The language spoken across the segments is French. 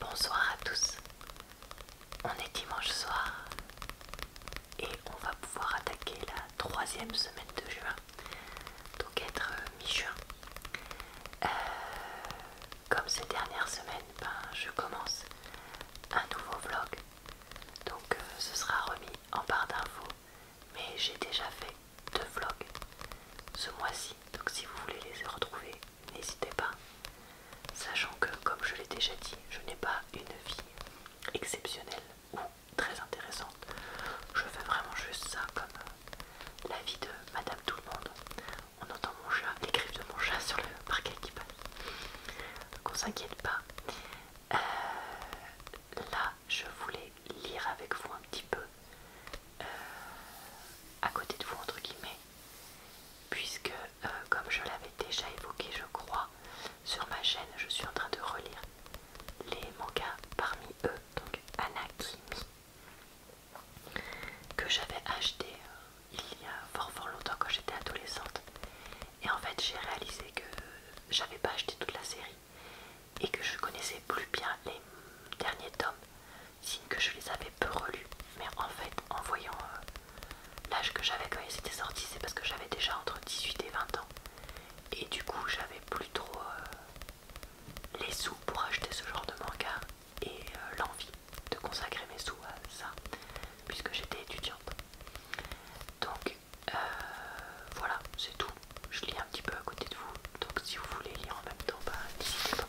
Bonsoir à tous. On est dimanche soir et on va pouvoir attaquer la troisième semaine de juin, donc être euh, mi-juin. Euh, comme ces dernières semaines, ben, je commence un nouveau vlog, donc euh, ce sera remis en barre d'infos, mais j'ai déjà fait deux vlogs ce mois-ci, donc si vous voulez les retrouver, n'hésitez pas. Sachant que, comme je l'ai déjà dit, je n'ai pas une vie exceptionnelle ou très intéressante. Je fais vraiment juste ça comme euh, la vie de Madame Tout le Monde. On entend mon chat, les de mon chat sur le parquet qui passe. Donc on s'inquiète pas. Euh, là, je voulais lire avec vous un petit peu euh, à côté de vous entre guillemets puisque euh, comme je l'avais déjà évoqué je crois sur ma chaîne je suis en train de relire les mangas parmi eux donc Anakimi que j'avais acheté euh, il y a fort fort longtemps quand j'étais adolescente et en fait j'ai réalisé que j'avais pas acheté toute la série et que je connaissais plus bien les derniers tomes signe que je les avais peu relus. Mais en fait, en voyant euh, l'âge que j'avais quand ils étaient sortis, c'est parce que j'avais déjà entre 18 et 20 ans. Et du coup, j'avais plus trop euh, les sous pour acheter ce genre de manga et euh, l'envie de consacrer mes sous à ça, puisque j'étais étudiante. Donc voilà, c'est tout. Je lis un petit peu à côté de vous, donc si vous voulez lire en même temps, bah, n'hésitez pas.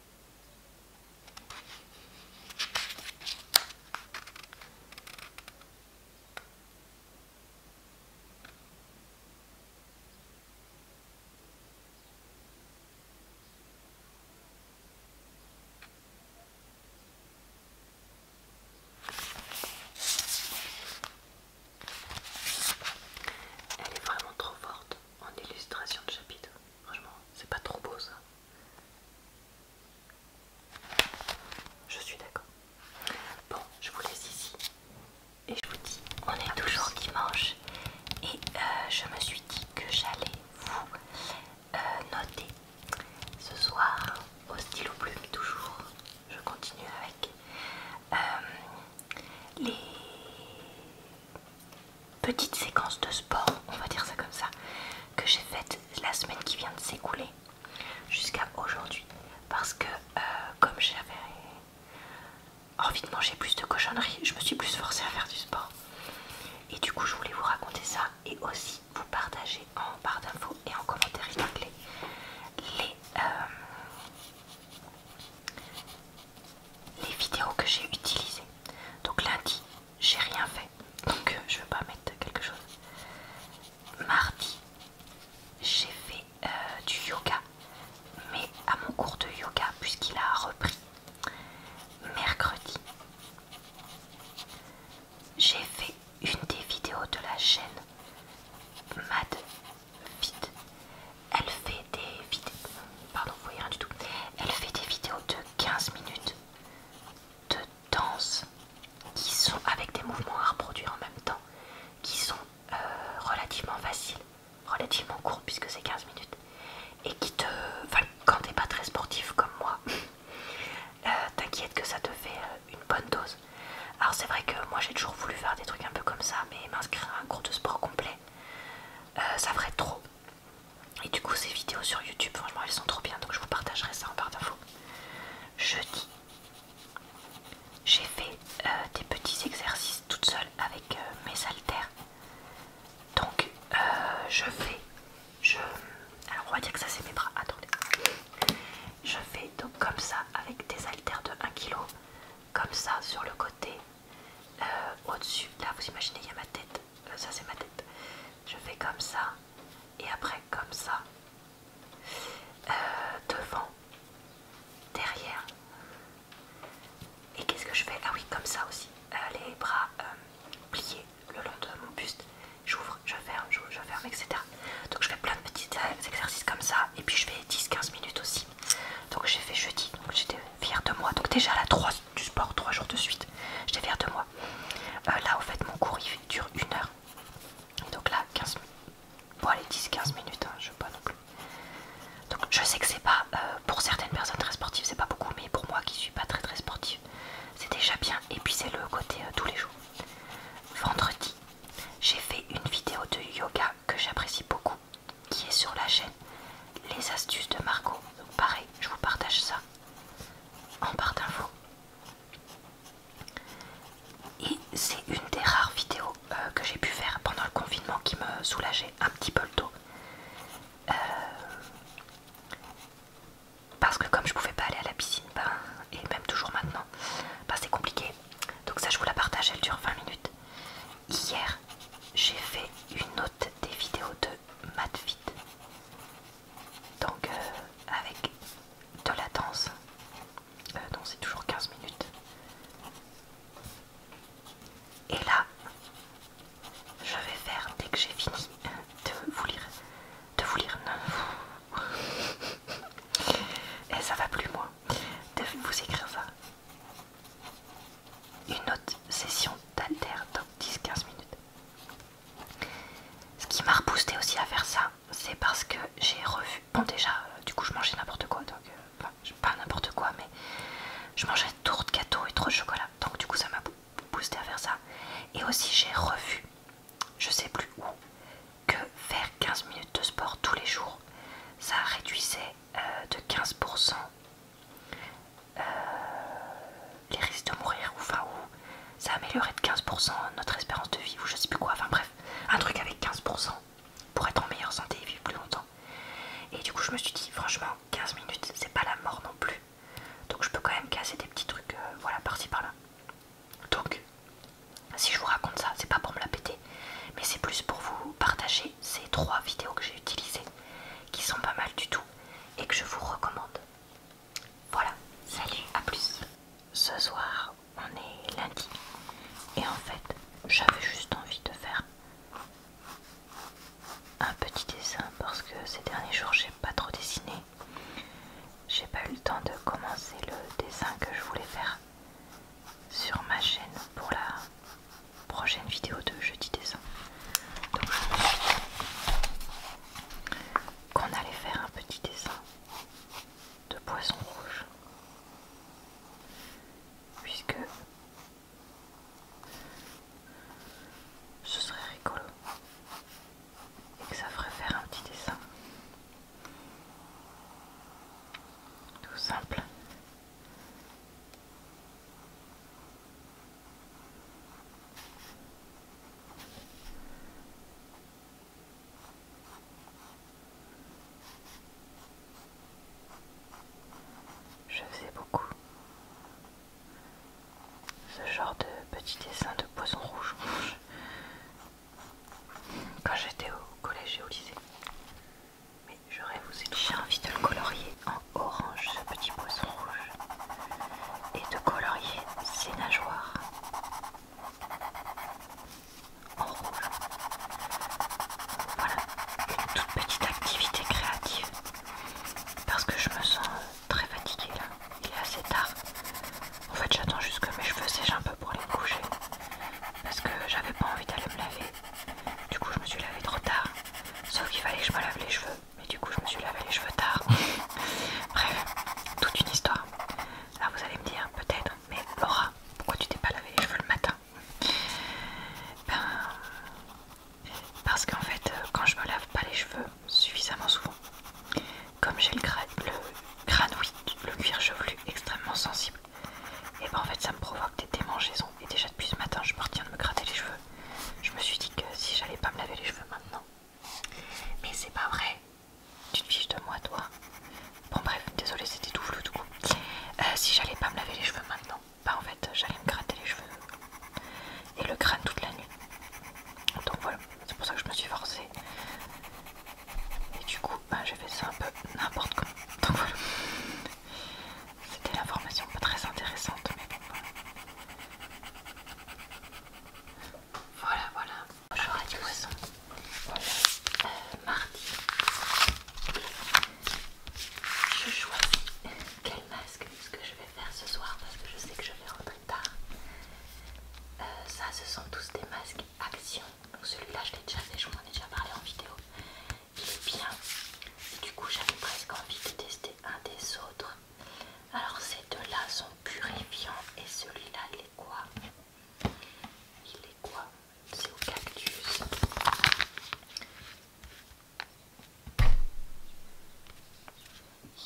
Elle est vraiment trop forte en illustration de chapitre. Franchement, c'est pas trop beau ça. Je suis d'accord. Bon, je vous laisse ici. Et je vous dis, on est toujours dimanche. Et euh, je me suis dit que j'allais vous euh, noter ce soir au stylo plume toujours. Je continue avec euh, les petite séquence de sport, on va dire ça comme ça, que j'ai faite la semaine qui vient de s'écouler jusqu'à aujourd'hui. Parce que euh, comme j'avais envie de manger plus de cochonneries, je me suis plus forcée à faire du sport. Et du coup, je voulais vous raconter ça et aussi vous partager en barre d'infos et en commentaire les, euh, les vidéos que j'ai utilisées. Donc lundi, j'ai rien fait donc euh, je vais pas mettre quelque chose. Mardi, j'ai fait euh, du yoga, mais à mon cours de yoga, puisqu'il a repris. Mercredi, j'ai fait une des vidéos de la chaîne Mad Fit. Elle fait des vidéos, pardon, vous voyez rien du tout. Elle fait des vidéos de 15 minutes de danse qui sont avec des mouvements à reproduire en même temps, qui sont euh, relativement faciles, relativement courts puisque c'est 15 minutes, et qui te... Enfin, quand t'es pas très sportif comme moi, euh, t'inquiète que ça te fait euh, une bonne dose. Alors c'est vrai que moi j'ai toujours voulu faire des trucs un peu comme ça, mais m'inscrire à un cours de sport complet, ça ferait trop. Et du coup, ces vidéos sur YouTube, franchement, elles sont trop bien. Donc, je vous partagerai ça en barre d'infos. Jeudi, j'ai fait euh, des petits exercices toute seule avec euh, mes haltères. Donc, euh, je fais. Je... Alors, on va dire que ça, c'est mes bras. Attendez. Je fais donc comme ça avec des haltères de 1 kg. Comme ça sur le côté. Au-dessus. Là, vous imaginez, il y a ma tête ça c'est ma tête. Je fais comme ça et après comme ça. Euh, devant, derrière. Et qu'est-ce que je fais Ah oui, comme ça aussi. Euh, les bras euh, pliés le long de mon buste. J'ouvre, je ferme, je ferme, etc. Donc je fais plein de petits exercices comme ça. Et puis je fais 10-15 minutes aussi. Donc j'ai fait jeudi. Donc j'étais fière de moi. Donc déjà la 3 du sport, 3 jours de suite. J'étais fière de moi. Euh, là, au fait, mon cours il dure une heure. donc là, 15 Bon, allez, 10-15 minutes, hein, je veux pas non plus. Donc, je sais que c'est pas, euh, pour certaines personnes très sportives, c'est pas beaucoup, mais pour moi qui suis pas très très sportive, c'est déjà bien. Et puis, c'est le côté euh, tous les jours. Vendredi, j'ai fait une vidéo de yoga que j'apprécie beaucoup, qui est sur la chaîne Les Astuces de Margot. Donc, pareil, je vous partage ça en barre d'infos. Et c'est une des rares vidéos euh, que j'ai pu faire pendant le confinement qui me soulageait un petit peu le dos. Euh, parce que comme je pouvais pas aller à la piscine, ben, et même toujours maintenant, ben, c'est compliqué. Donc ça je vous la partage, elle dure 20 minutes. Hier j'ai fait une autre des vidéos de Matfit. Donc euh, avec de la danse. Euh, donc c'est toujours 15 minutes. Et là, je vais faire dès que j'ai fini de vous lire. De vous lire. 9 Et eh, ça va plus moi. De vous écrire ça. Une autre session d'alter dans 10-15 minutes. Ce qui m'a reboosté aussi à faire ça, c'est parce que j'ai revu. Bon, déjà, euh, du coup, je mangeais n'importe quoi, donc euh, pas n'importe quoi, mais je mangeais trop de gâteaux et trop de chocolat, donc du coup, ça m'a boosté à faire ça. Et aussi, j'ai revu, je sais plus où, que faire 15 minutes de sport tous les jours, ça réduisait euh, de 15% euh, les risques de mourir, ou enfin, ou ça améliorerait de 15% notre espérance de vie, ou je sais plus quoi, enfin bref, un truc avec 15% pour être en meilleure santé et vivre plus longtemps. Et du coup, je me suis dit, franchement, 15 minutes, c'est pas la mort non plus. Donc, je peux quand même casser des petits trucs, euh, voilà, par-ci par-là. Donc, si je vous raconte ça, c'est pas pour me la péter, mais c'est plus pour vous partager ces trois vidéos que j'ai utilisées qui sont pas mal du tout et que je vous recommande. Voilà, salut, à plus. Ce soir, on est lundi et en fait, j'avais juste envie de faire un petit dessin parce que ces derniers jours, j'ai pas trop dessiné. J'ai pas eu le temps de commencer le dessin que je voulais faire sur ma chaîne pour la prochaine vidéo de jeudi dessin. Donc je me qu'on allait faire un petit dessin de poisson rouge. Puisque ce serait rigolo et que ça ferait faire un petit dessin tout simple je faisais beaucoup ce genre de petits dessins de poisson rouge quand j'étais au collège et au lycée. Mais j'aurais vous j'ai envie de le colorier orange ce petit poisson rouge et de colorier ses nageoires en rouge. Voilà, une toute petite activité créative parce que je me sens euh, très fatiguée là, il est assez tard. En fait, j'attends juste que mes cheveux sèchent un peu pour les coucher parce que j'avais pas envie d'aller me laver. Du coup, je me suis lavé trop tard. Sauf qu'il fallait que je me lave les cheveux mais du coup je me suis lavé les cheveux tard. Bref, toute une histoire. Là vous allez me dire peut-être, mais Laura, pourquoi tu t'es pas lavé les cheveux le matin Ben parce qu'en fait euh, quand je me lave pas les cheveux suffisamment souvent, comme j'ai le, granouille, le le cuir chevelu extrêmement sensible, et eh ben en fait ça me provoque des démangeaisons. Et déjà depuis ce matin je me retiens de me gratter les cheveux je me suis dit que si j'allais pas me laver les cheveux maintenant. Mais c'est pas vrai. Tu te fiches de moi, toi Bon, bref, désolé, c'était tout flou, tout coup. Euh, si j'allais pas me laver les cheveux maintenant, bah en fait, j'allais me gratter les cheveux et le crâne toute la nuit. Donc voilà, c'est pour ça que je me suis forcée. Et du coup, bah, j'ai fait ça un peu n'importe comment. C'était l'information pas très intéressante, mais bon voilà. Voilà, voilà. Bonjour à du poisson. Euh, mardi. Je choisis quel masque est ce que je vais faire ce soir parce que je sais que je vais rentrer tard. Euh, ça, ce sont tous des masques action. Donc celui-là, je l'ai déjà fait, je vous en ai déjà parlé en vidéo. Il est bien du coup, j'avais presque envie de tester un des autres. Alors, ces deux-là sont purifiants et celui-là, il est quoi Il est quoi C'est au cactus.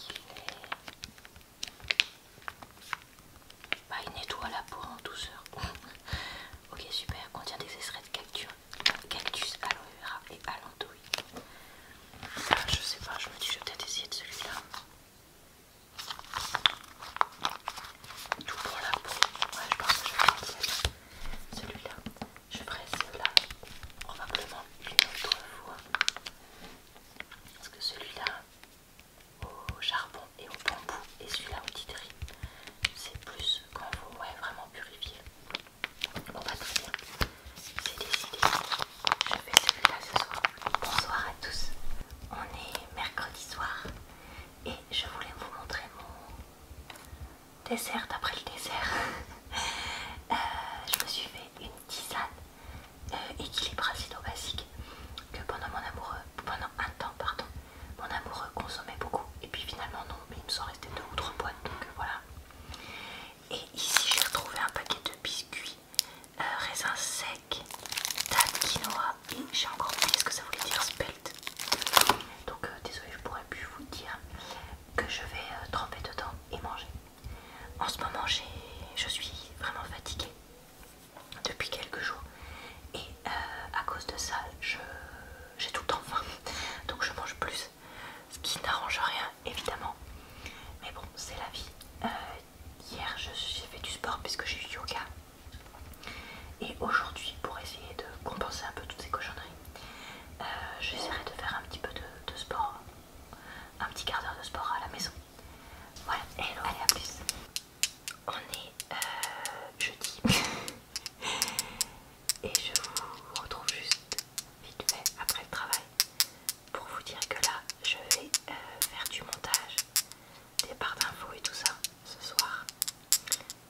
Il est... Bah, il nettoie la peau en douceur. ok, super, contient des extraits de cactus cactus, aloe vera et alantouille. Ah, je sais pas, je me dis, je vais peut-être essayer de celui-là. Tout pour la peau. Ouais, je pense que je vais celui-là. Je presse celui-là probablement une autre fois. Parce que celui-là au charbon et au bambou et celui-là au titri, c'est plus quand vous ouais, vraiment purifier. Bon bah très bien, c'est décidé, je fais celui-là ce soir. Bonsoir à tous, on est mercredi soir et je voulais vous montrer mon dessert d'après le dessert. Euh, je me suis fait une tisane euh, équilibre basique que pendant mon amoureux, pendant un temps pardon, mon amoureux consommait beaucoup et puis finalement non mais il me sont restés deux ou trois boîtes donc euh, voilà et ici, j'ai retrouvé un paquet de biscuits raisin euh, raisins secs, quinoa et j'ai encore oublié ce que ça voulait dire spelt. Donc, euh, désolé, je pourrais plus vous dire que je vais euh, tremper dedans et manger. En ce moment, je suis vraiment fatiguée depuis quelques jours et à cause de ça, j'ai tout le temps faim. Donc, je mange plus ce qui n'arrange rien évidemment. Mais bon, c'est la vie. Euh, hier, j'ai fait du sport puisque j'ai eu yoga. Et aujourd'hui, pour essayer de compenser un peu toutes ces cochonneries, euh, j'essaierai de faire un petit peu de, sport, un petit quart d'heure de sport à la maison. Voilà, et à plus. On est euh, jeudi. et je vous retrouve juste vite fait après le travail pour vous dire que là je vais euh, faire du montage des parts d'infos et tout ça ce soir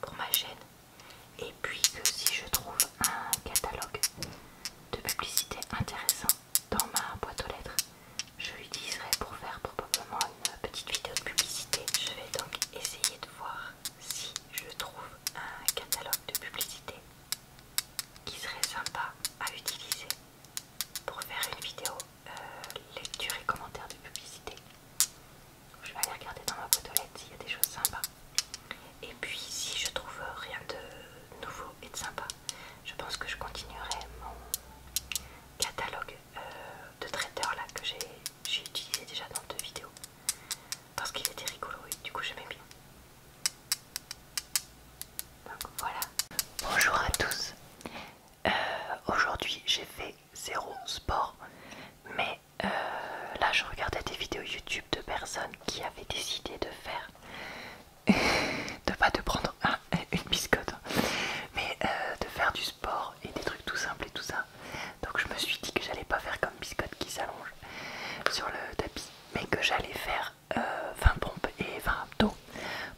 pour ma chaîne et puis que si je trouve un catalogue de publicité intéressant dans ma boîte aux lettres je l'utiliserai pour faire probablement une petite vidéo de publicité je vais donc essayer de voir si je trouve un catalogue de publicité qui serait sympa à utiliser pour faire une vidéo euh, lecture et commentaires de publicité. Je vais aller regarder dans ma boîte aux lettres s'il y a des choses sympas. Et puis si je trouve rien de nouveau et de sympa, je pense que je continuerai mon catalogue euh, de traiteurs là que j'ai utilisé déjà dans deux vidéos parce qu'il était rigolo du coup j'aimais bien. Donc voilà. Bonjour à tous. Euh, aujourd'hui j'ai fait zéro sport, mais euh, là je regardais des vidéos YouTube de personnes qui avaient décidé de faire, de pas de prendre une biscotte, hein, mais euh, de faire du sport et des trucs tout simples et tout ça. Donc je me suis dit que j'allais pas faire comme Biscotte qui s'allonge sur le tapis, mais que j'allais faire 20 euh, pompes et 20 abdos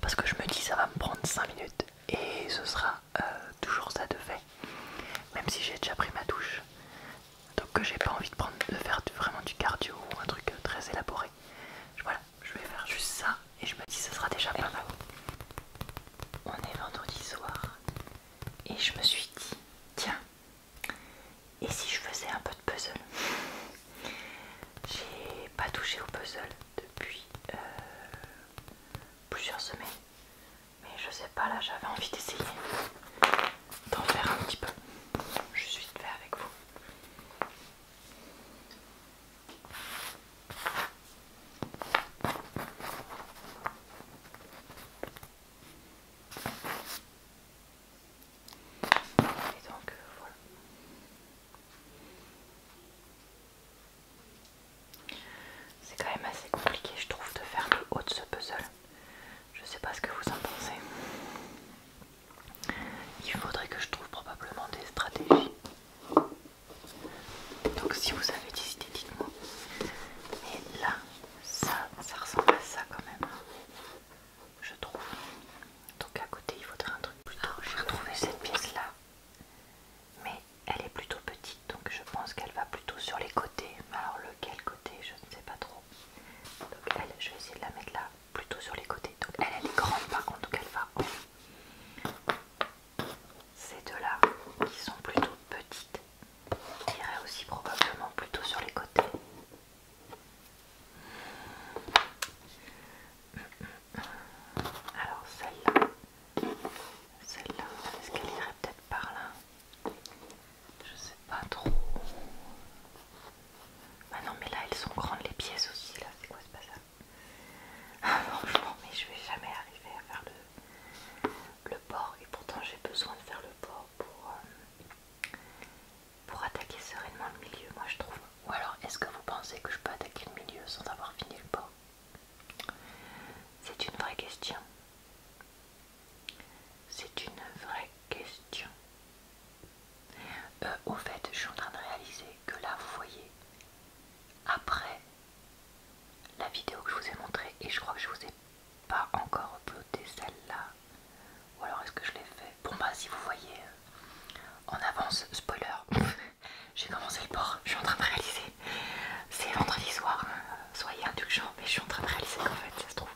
parce que je me dis ça va me prendre 5 minutes et ce sera euh, toujours ça de fait, même si j'ai déjà pris ma douche. Donc que j'ai pas envie de, prendre, de faire vraiment du cardio ou un truc euh, très élaboré. Voilà, je vais faire juste ça et je me dis ce sera déjà bien. On est vendredi soir et je me suis dit tiens et si je faisais un peu de puzzle J'ai pas touché au puzzle depuis euh, plusieurs semaines. Mais je sais pas, là j'avais envie d'essayer d'en faire un petit peu. Je suis de avec vous. Et donc euh, voilà. C'est quand même assez compliqué, je trouve, de faire le haut de ce puzzle. Je sais pas ce que vous en pensez. Il faudrait que je trouve probablement des stratégies. Donc si vous avez des idées, dites-moi. Et là, ça, ça ressemble à ça quand même, je trouve. Donc à côté, il faudrait un truc plus large J'ai retrouvé cette pièce-là, mais elle est plutôt petite, donc je pense qu'elle va plutôt sur les côtés. mais Alors lequel côté, je ne sais pas trop. Donc elle, je vais essayer de la mettre là, plutôt sur les côtés. Donc elle, est grande par contre, donc elle va Ces deux-là, qui sont plutôt petites, irait aussi probablement plutôt sur les côtés. Alors celle-là, celle-là, est-ce qu'elle irait peut-être par là Je sais pas trop. Ah non mais là elles sont grandes les pièces aussi là, c'est quoi ce pas ça ah, Franchement mais je vais jamais arriver à faire le, le port et pourtant j'ai besoin de faire le port euh, pour, attaquer sereinement le milieu, moi je trouve. Ou alors, est-ce que vous pensez que je peux attaquer le milieu sans avoir fini le pas C'est une vraie question. C'est une vraie question. Euh, au fait, je suis en train de réaliser que là, vous voyez, après la vidéo que je vous ai montrée, et je crois que je vous ai pas encore uploadé celle-là. Ou alors est-ce que je l'ai fait Bon bah si vous voyez euh, en avance, spoiler, j'ai commencé le port, je suis en train de réaliser. C'est vendredi soir, hein. soyez indulgents, mais je suis en train de réaliser qu'en fait ça se trouve.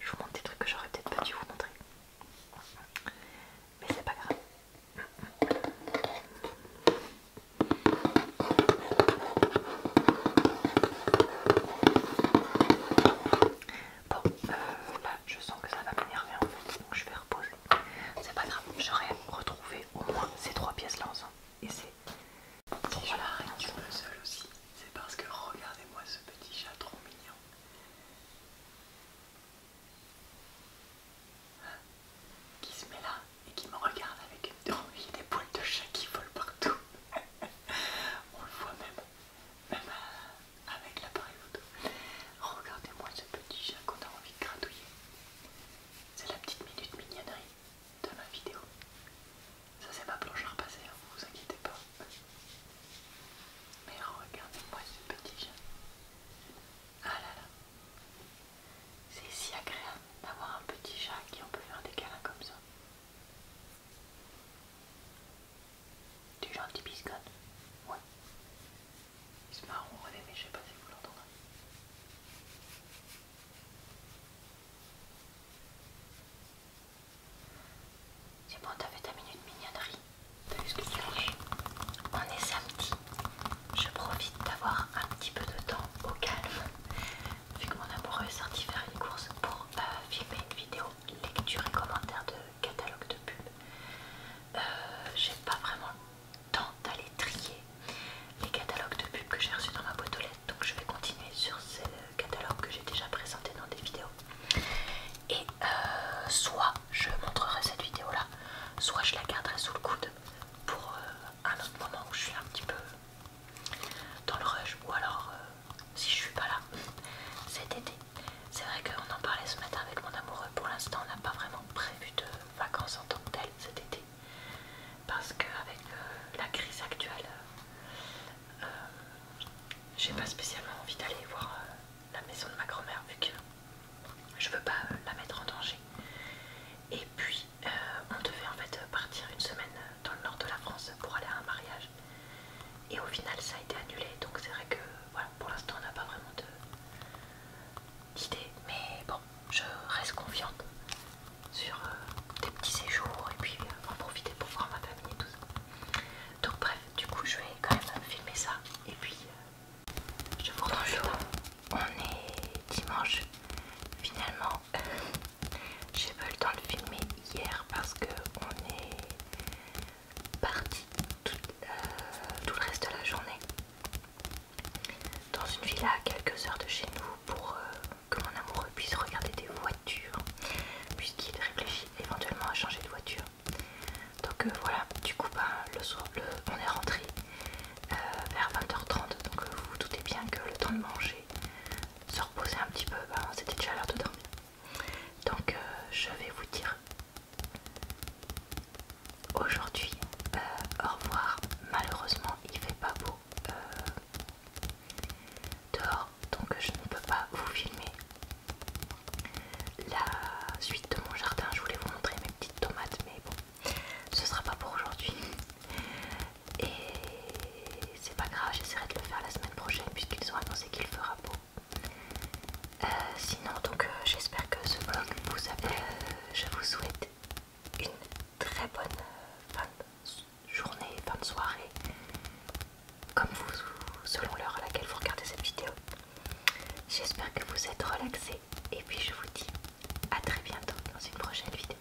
Je vous montre des trucs que j'aurais peut-être pas dû vous montrer. Mais c'est pas grave. Bon, euh, là je sens que ça va m'énerver en fait, donc je vais reposer. C'est pas grave, j'aurais retrouvé au moins ces trois pièces là ensemble. Et c'est. Si voilà, je suis le seul aussi, c'est parce que regardez-moi ce petit chat trop mignon. Hein qui se met là et qui me regarde avec il y a des poils de chat qui volent partout. On le voit même, même euh, avec l'appareil photo. Regardez-moi ce petit chat qu'on a envie de gratouiller. C'est la petite minute mignonnerie de ma vidéo. Ça c'est ma planche à repasser, hein, vous inquiétez pas. Mais regardez-moi ce petit chat. Ah là là. C'est si agréable d'avoir un petit chat qui on peut faire des câlins comme ça un gentil biscotte Ouais. C'est marron mais je sais pas si vous l'entendez C'est bon, t'as fait ta minute mignonnerie. T'as vu ce que tu manges On est samedi. Je profite d'avoir un petit peu de temps au calme vu que mon amoureux est sorti faire une course pour euh, filmer une vidéo lecture et commentaire de catalogue de pub, euh, j'ai pas vraiment le temps d'aller trier les catalogues de pub que j'ai reçus dans ma boîte aux lettres, donc je vais continuer sur ces catalogues que j'ai déjà présentés dans des vidéos. Et euh, soit je montrerai cette vidéo là, soit je la garderai sous le coude pour un autre moment où je suis un petit peu dans le rush ou alors euh, si je suis pas là cet été. C'est vrai qu'on en parlait ce matin avec mon amoureux. Pour l'instant, on n'a pas vraiment prévu de vacances en tant que telles cet été parce que avec euh, la crise actuelle, euh, j'ai pas spécialement envie d'aller voir la maison de ma grand-mère vu que je veux pas la mettre en danger. Et puis euh, on devait en fait partir une semaine dans le nord de la France pour aller à un mariage et au final ça a été annulé donc c'est vrai que voilà pour l'instant on n'a pas vraiment d'idée mais bon je reste confiante sur euh, des petits séjours et puis euh, en profiter pour voir ma famille et tout ça donc bref du coup je vais quand même filmer ça et puis je vous retrouve on est dimanche finalement j'ai pas eu le temps de filmer hier parce que on est parti euh, tout, le reste de la journée dans une villa à quelques heures de chez nous pour euh, que mon amoureux puisse regarder des voitures puisqu'il réfléchit éventuellement à changer de voiture. Donc euh, voilà, du coup ben, le soir on est rentré vers 20h30 donc vous vous doutez bien que le temps de manger, se reposer un petit peu, c'était bah, déjà chaleur de dormir. Donc euh, je vais vous dire aujourd'hui euh, au revoir. Malheureusement il fait pas beau euh, dehors donc je ne peux pas vous filmer la suite de mon jardin. Je voulais vous montrer mes petites tomates mais bon ce sera pas pour aujourd'hui. Et c'est pas grave, j'essaierai de le faire la semaine prochaine puisqu'ils ont annoncé qu'il fera beau. Euh, sinon, donc euh, j'espère que ce vlog vous a plu. Euh, je vous souhaite une très bonne fin de journée, fin de soirée, comme vous, selon l'heure à laquelle vous regardez cette vidéo. J'espère que vous êtes relaxés et puis je vous dis à très bientôt dans une prochaine vidéo.